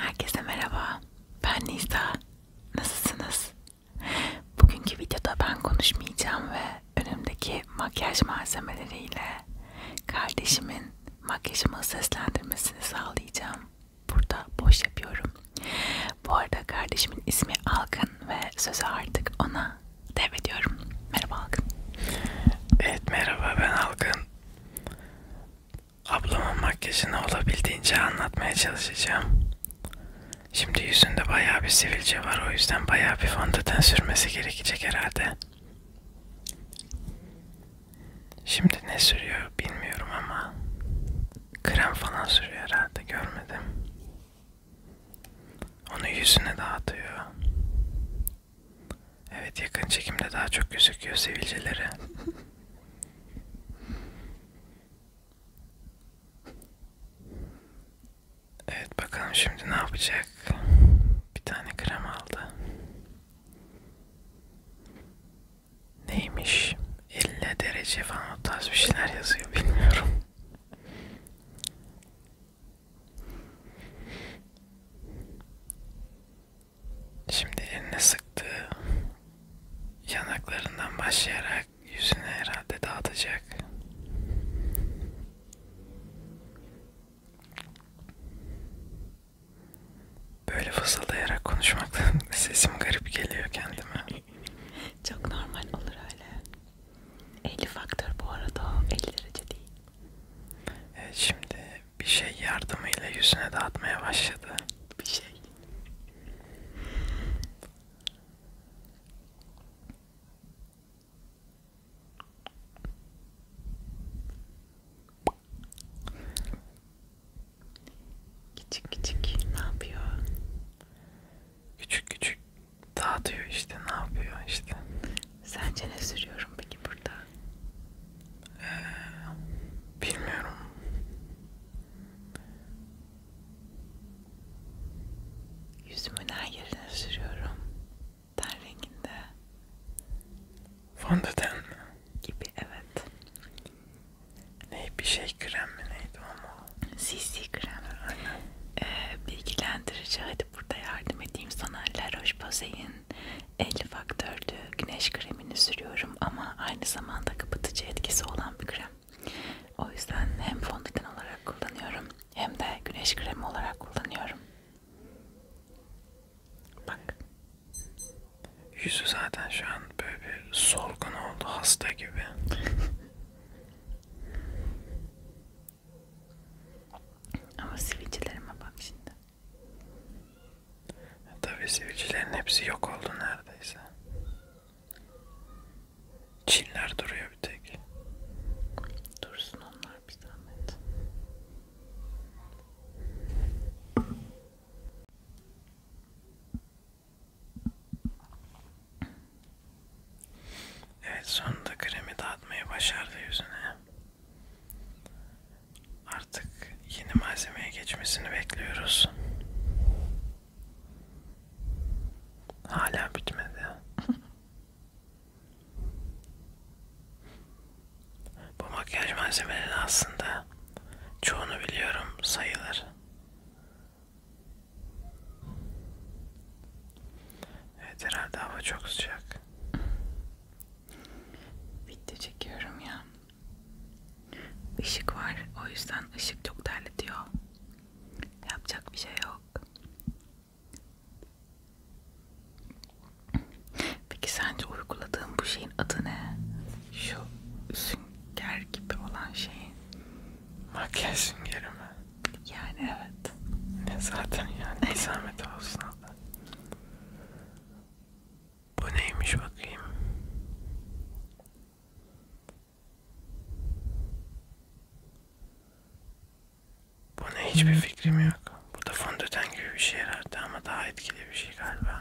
Herkese merhaba. Ben Nisa. Nasılsınız? Bugünkü videoda ben konuşmayacağım ve önümdeki makyaj malzemeleriyle kardeşimin makyajımı seslendirmesini sağlayacağım. Burada boş yapıyorum. Bu arada kardeşimin ismi Alkın ve sözü artık ona devrediyorum. Merhaba Alkın. Evet merhaba ben Alkın. Ablamın makyajını olabildiğince anlatmaya çalışacağım. Şimdi yüzünde bayağı bir sivilce var o yüzden bayağı bir fondöten sürmesi gerekecek herhalde. Şimdi ne sürüyor bilmiyorum ama krem falan sürüyor herhalde görmedim. Onu yüzüne dağıtıyor. Evet yakın çekimde daha çok gözüküyor sivilceleri. Evet bakalım şimdi ne yapacak? Bir tane krem aldı. Neymiş? 50 derece falan o tarz bir şeyler yazıyor bilmiyorum. Şimdi eline sıktığı yanaklarından başlayarak yüzüne herhalde dağıtacak. Böyle fısıldayarak konuşmaktan sesim garip geliyor kendime. Çok normal olur öyle. 50 faktör bu arada 50 derece değil. Evet, şimdi bir şey yardımıyla yüzüne dağıtmaya başladı. Bir şey. Küçük küçük ne yapıyor? Küçük küçük dağıtıyor işte ne yapıyor işte. Sence ne sürüyorum peki burada? Ee, bilmiyorum. Yüzümün her yerine sürüyorum. Ten renginde. Fondöten mi? Gibi evet. Ne bir şey krem mi neydi ama? CC krem. Aynen. Ee, bilgilendirici hadi burada yardım edeyim sana La Roche-Posay'in 50 faktördü güneş kremini sürüyorum ama aynı zamanda kapatıcı etkisi olan bir krem. O yüzden hem fondöten olarak kullanıyorum hem de güneş kremi olarak kullanıyorum. Bak. Yüzü zaten şu an böyle bir solgun oldu hasta gibi. Ama sivilcelerime bak şimdi. Tabi sivilcilerin hepsi yok oldu neredeyse. Çinler duruyor bir tek. Dursun onlar bir zahmet. Evet sonunda kremi dağıtmayı başardı yüzüne. Artık yeni malzemeye geçmesini bekliyoruz. Hala bitmedi. Bu makyaj malzemeleri aslında çoğunu biliyorum sayılır. Evet herhalde hava çok sıcak. Video çekiyorum ya. Işık var. O yüzden ışık çok terletiyor. Yapacak bir şey yok. Peki sence uyguladığım bu şeyin adı ne? Şu sünger gibi olan şeyin. Makyaj süngeri mi? Yani evet. Ne zaten yani bir zahmet olsun Allah. Bu neymiş bakayım? Buna hiçbir hmm. fikrim yok. Bu da fondöten gibi bir şey herhalde ama daha etkili bir şey galiba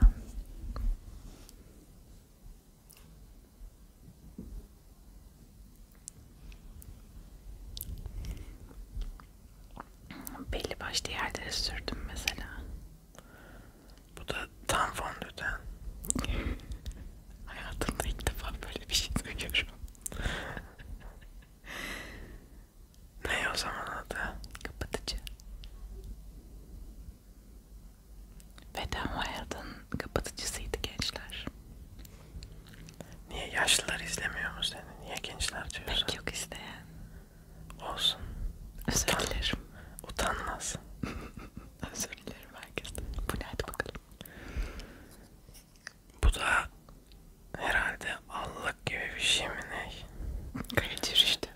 belli başlı yerlere sürdüm mesela. Bu da tam fondöten. Hayatımda ilk defa böyle bir şey duyuyorum. ne o zaman adı? Kapatıcı. Ve tam hayatın kapatıcısıydı gençler. Niye yaşlılar izlemiyor mu seni? Niye gençler diyorsun? Pek yok isteyen. Olsun. Özür Utan, dilerim. Utanmaz. Özür dilerim herkesten. Bu ne hadi bakalım. Bu da herhalde allık gibi bir şey mi ne? Kayıtır işte.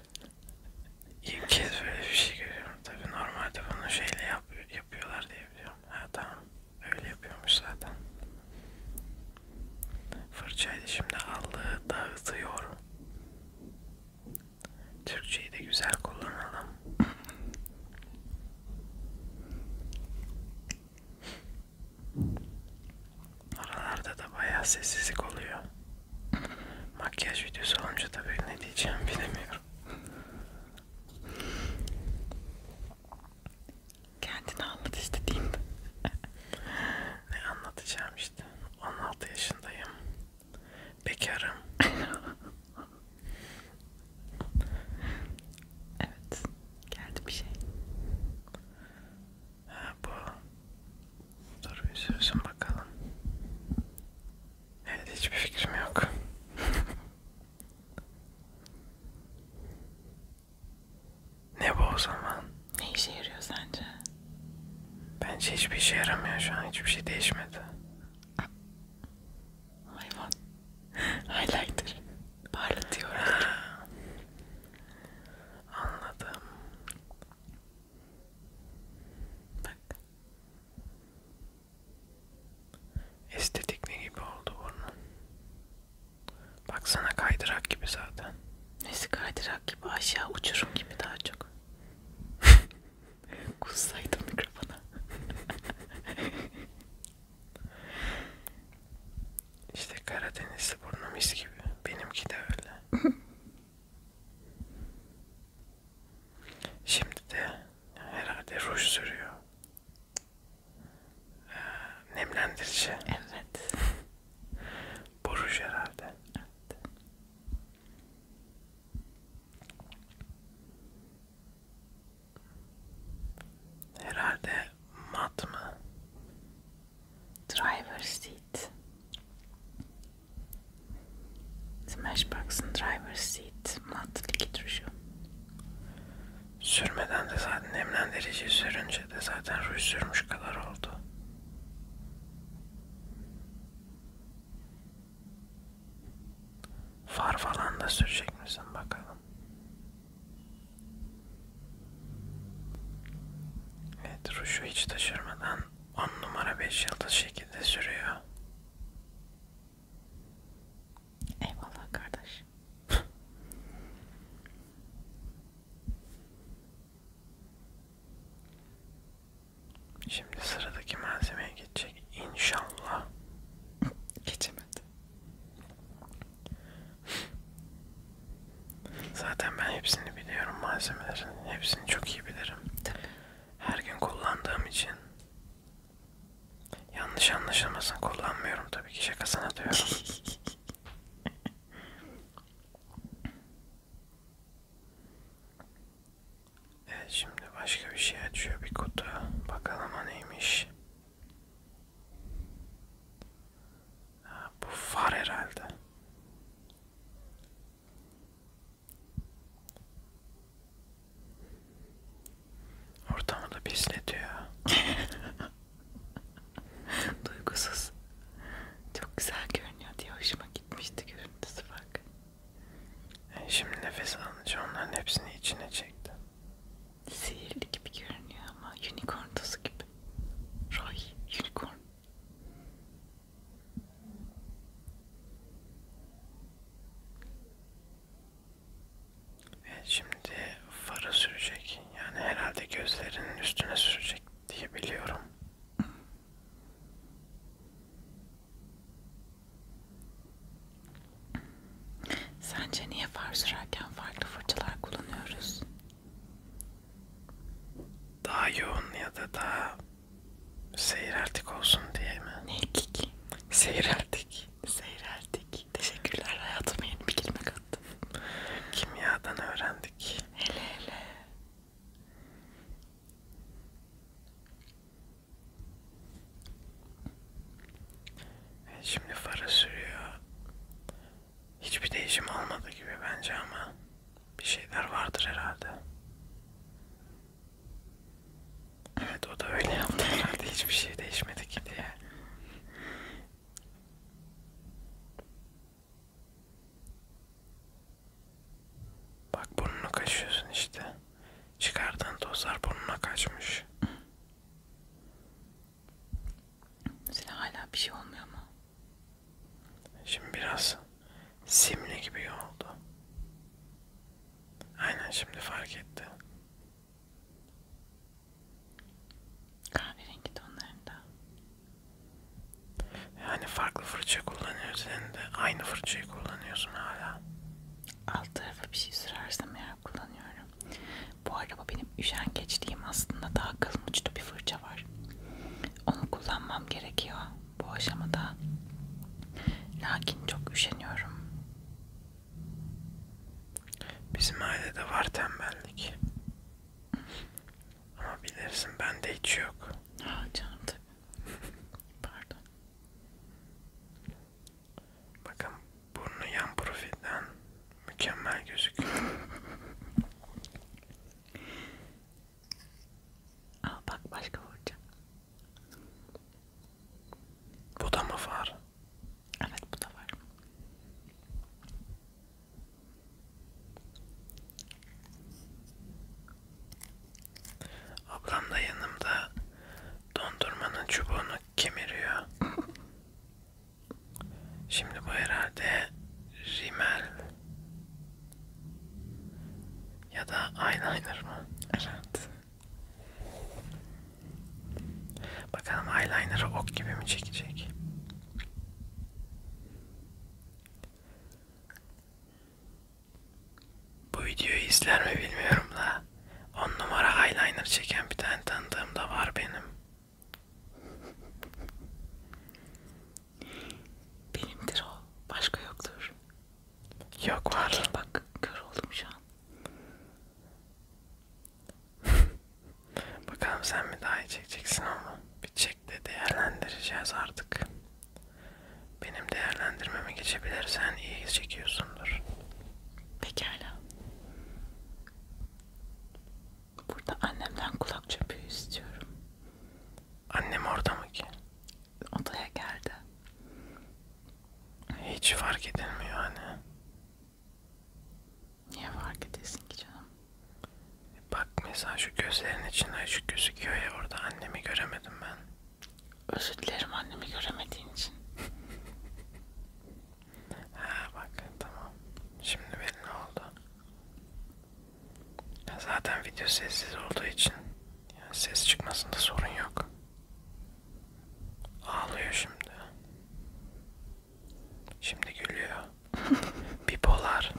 İlk kez böyle bir şey görüyorum. Tabii normalde bunu şeyle yap yapıyorlar diye biliyorum. Ha tamam. Öyle yapıyormuş zaten. Fırçaydı şimdi aldığı dağıtıyor. Türkçeyi de güzel kullanalım. Oralarda da bayağı sessizlik oluyor. Makyaj videosu olunca tabii ne diyeceğim bilemiyorum. Kendini anlat istediğin. ne anlatacağım işte. 16 yaşındayım. Bekarım. evet. Geldi bir şey. Ha bu. Dur bir sürsün bakalım. Evet hiçbir fikrim yok. Ne bu o zaman? Ne işe yarıyor sence? Bence hiçbir işe yaramıyor şu an. Hiçbir şey değişmedi. Hayvan. Ah. Highlighter. Parlatıyor. Ah. Anladım. Bak. Estetik ne gibi oldu bunun? Baksana kaydırak gibi zaten. Nesi kaydırak gibi aşağı uçurum gibi daha çok. Kussaydım mikrofona. işte Karadenizli burnu mis gibi. Benimki de öyle. Şimdi de herhalde ruj sürüyor. Ee, nemlendirici. Evet. Bu ruj herhalde. Evet. Herhalde mat mı? Driver seat. Smashbox'ın driver seat mat likit ruju. Sürmeden de zaten nemlendiriciyi sürünce de zaten ruj sürmüş kadar oldu. Far falan da sürecek misin bakalım. Evet ruşu hiç taşırmadan 10 numara 5 yıldız şekilde sürüyor. Eyvallah kardeş. Şimdi sıradaki malzemeye geçecek inşallah. Geçemedi. Zaten ben hepsini biliyorum malzemelerin. Hepsini çok iyi bilirim. Tabii. Her gün kullandığım için yanlış anlaşılmasın kullanmıyorum tabii ki şakasına diyorum. Evet şimdi başka bir şey açıyor bir kutu. Bakalım o neymiş. Ha, bu far herhalde. Ortamı da pisletiyor. Duygusuz. Çok güzel görünüyor diye hoşuma gitmişti görüntüsü bak. E şimdi nefes alınca onların hepsini içine çekti. Sihirli gibi görünüyor ama unicorn tozu gibi. Roy unicorn. Evet şimdi farı sürecek. Yani herhalde gözlerinin üstüne sürecek diye biliyorum. Sence niye far sürerken farklı fırçalar kullanıyoruz? Daha yoğun ya da daha seyreltik olsun diye mi? Ne ki? Seyreltik. Seyreltik. Teşekkürler hayatım yeni bir kelime olacaktım. Kimyadan öğrendik. Hele hele. Evet, şimdi fara sürüyor. Hiçbir değişim olmadı gibi bence ama bir şeyler vardır herhalde. Evet o da öyle yaptı herhalde hiçbir şey değişmedi ki diye. Bak burnunu kaşıyorsun işte. Çıkardığın tozlar burnuna kaçmış. Mesela hala bir şey olmuyor mu? Şimdi biraz simli gibi oldu. Aynen şimdi fark etti. Kahverengi tonlarında. Yani farklı fırça kullanıyorsun de aynı fırçayı kullanıyorsun hala. Alt tarafa bir şey sürersem eğer kullanıyorum. Bu araba benim üşengeçliğim aslında daha kalın uçlu bir fırça var. Onu kullanmam gerekiyor bu aşamada. Lakin çok üşeniyorum. Bizim ailede var tembellik. Ama bilirsin bende hiç yok. Ha canım tabii. Pardon. Bakın burnu yan profilden mükemmel gözüküyor. Aa bak başka vuracağım. Bu da mı var? Evet bu da var. Ablam da yanımda dondurmanın çubuğunu kemiriyor. Şimdi bu herhalde rimel ya da eyeliner mı? Evet. Bakalım eyeliner'ı ok gibi mi çekecek? Bu videoyu izler mi bilmiyorum da 10 numara eyeliner çeken bir tane tanıdığım da var benim. Benimdir o. Başka yoktur. Yok var. Bak kör oldum şu an. Bakalım sen mi daha iyi çekeceksin ama bir çek de değerlendireceğiz artık. Benim değerlendirmeme geçebilirsen iyi çekiyorsundur. Pekala. Burada annemden kulak çöpüğü istiyorum. Annem orada mı ki? Odaya geldi. Hiç fark edilmiyor hani. Niye fark edesin ki canım? E bak mesela şu gözlerin içinde açık gözüküyor ya orada annemi göremedim ben. Özür dilerim annemi göremediğin için. ha bak tamam. Şimdi belli oldu. Ya zaten video sessiz olduğu için yani ses çıkmasında sorun yok. Ağlıyor şimdi. Şimdi gülüyor. Bipolar.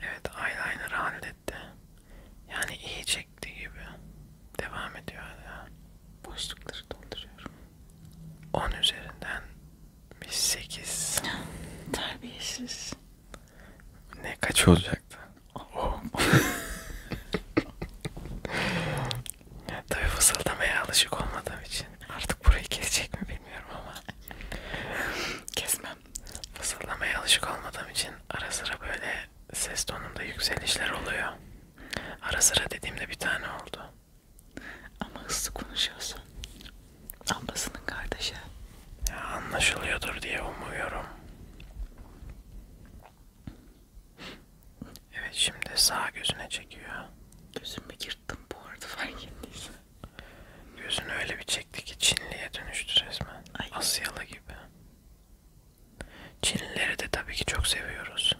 Evet eyeliner halletti. Yani iyi çekti gibi. Devam ediyor hala. Boşlukları dolduruyorum. 10 üzerinden bir 8. Terbiyesiz. Ne kaç olacak? olacaktı. Oh. Tabii fısıldamaya alışık olmadığım için artık burayı kesecek mi bilmiyorum ama kesmem. Fısıldamaya alışık olmadığım için ara sıra böyle ses tonumda yükselişler oluyor. Ara sıra dediğimde bir tane oldu. Ama hızlı konuşuyorsun. Ablasının kardeşi. Ya anlaşılıyordur diye umuyorum. Evet şimdi sağ gözüne çekiyor. Gözümü yırttım bu arada fark ettiysen. Gözünü öyle bir çekti ki Çinli'ye dönüştü resmen. Ay. Asyalı gibi. Çinlileri de tabii ki çok seviyoruz.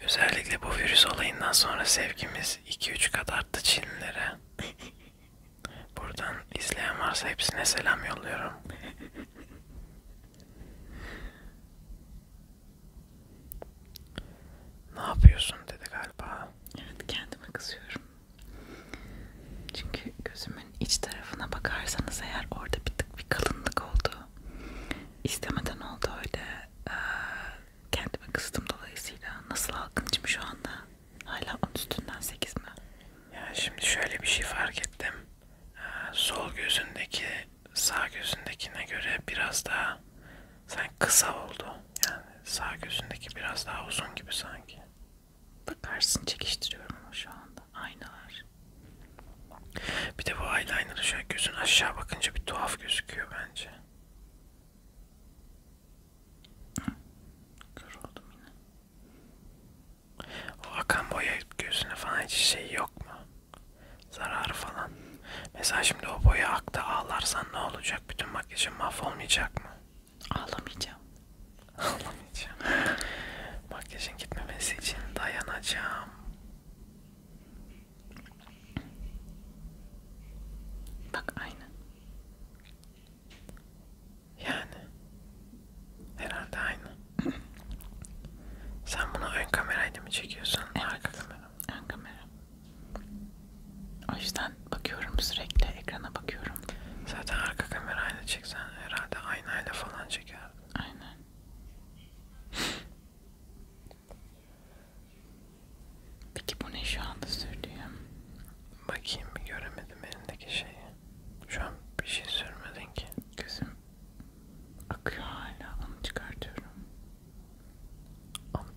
Özellikle bu virüs olayından sonra sevgimiz 2-3 kat arttı Çinlilere. Buradan izleyen varsa hepsine selam yolluyorum. ne yapıyorsun dedi galiba. Evet kendime kızıyorum. Çünkü gözümün iç tarafına bakarsanız eğer orada bir tık bir kalınlık oldu. İstemeden oldu öyle. Ee, kendime kızdım dolayısıyla. Nasıl halkıncım şu anda? Hala onun üstünden 8 mi? Ya şimdi şöyle bir şey fark ettim. Ee, sol gözündeki sağ gözündekine göre biraz daha sen kısa oldu. Yani sağ gözündeki biraz daha uzun gibi sanki. Bakarsın çekiştiriyorum ama şu anda. Aynalar. Bir de bu eyeliner'ı şöyle gözün aşağı bakınca bir tuhaf gözüküyor bence. Kör oldum yine. O akan boya gözüne falan hiç şey yok mu? Zararı falan. Mesela şimdi o boya akta ağlarsan ne olacak? Bütün makyajın mahvolmayacak mı? Ağlamayacağım. Ağlamayacağım. Makyajın gitmemesi için dayanacağım. Bak aynı. Yani herhalde aynı. Sen bunu ön kamerayla mı çekiyorsun? Evet. Arka kamera mı? Ön kamera. O yüzden bakıyorum sürekli ekrana bakıyorum. Zaten arka kamerayla çeksen herhalde aynayla falan çekerdin. Aynen. Peki bu ne şu anda söylüyor? Bakayım bir göremedim elindeki şeyi. Şu an bir şey sürmedin ki. Gözüm akıyor hala. Onu çıkartıyorum. Onu...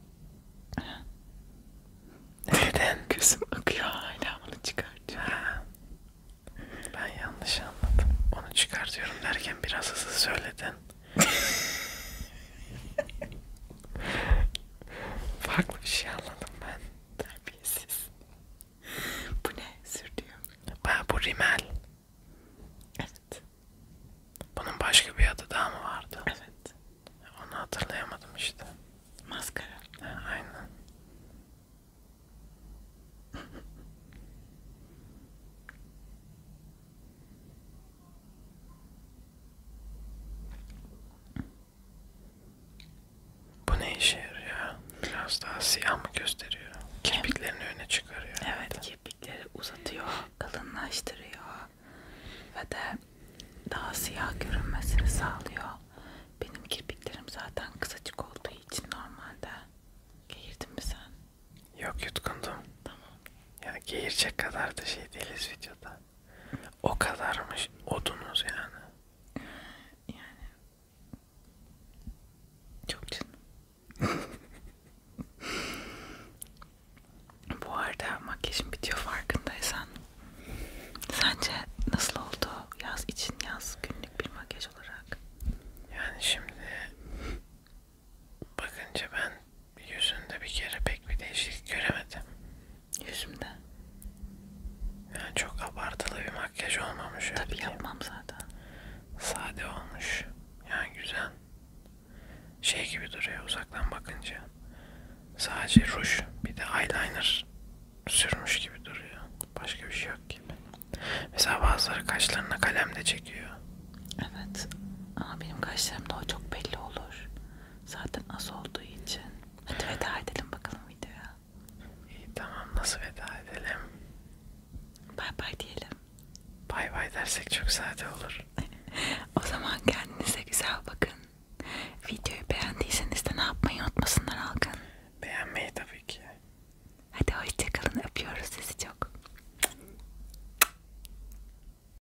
Neden? Gözüm akıyor hala. Onu çıkartıyorum. Ha. Ben yanlış anladım. Onu çıkartıyorum derken biraz hızlı söyledin. Farklı bir şey anladım ben. Terbiyesiz. bu ne? Sürdüğüm. Ben bu rimel. Evet. Bunun başka bir adı daha mı vardı? Evet. Onu hatırlayamadım işte. Maskara. Ha, aynen. Bu ne işe yarıyor? Biraz daha siyah mı gösteriyor? Kirpiklerini öne çıkarıyor. Evet, kirpikleri uzatıyor, kalınlaştırıyor ve de daha siyah görünmesini sağlıyor. Benim kirpiklerim zaten kısacık olduğu için normalde. Geğirdin mi sen? Yok yutkundum. Tamam. Yani geğirecek kadar da şey değiliz videoda. O kadarmış odunuz yani. Yani çok canım. Bu arada makyajım bitiyor farkındaysan. Sence nasıl oldu yaz için yaz günlük bir makyaj olarak? Yani şimdi bakınca ben yüzünde bir kere pek bir değişiklik göremedim. Yüzümde? Yani çok abartılı bir makyaj olmamış. Tabii öyle yapmam diyeyim. zaten. Sade olmuş. Yani güzel. Şey gibi duruyor uzaktan bakınca. Sadece ruj bir de eyeliner sürmüş gibi duruyor. Başka bir şey yok gibi. Mesela bazıları kaşlarına kalem de çekiyor. Evet. Ama benim kaşlarımda o çok belli olur. Zaten az olduğu için. Hadi veda edelim bakalım videoya. İyi tamam nasıl veda edelim? Bay bay diyelim. Bay bay dersek çok sade olur. o zaman kendinize güzel bakın. Videoyu beğendiyseniz de ne yapmayı unutmasınlar Algın. Beğenmeyi tabii ki. Hadi hoşçakalın öpüyoruz sizi çok.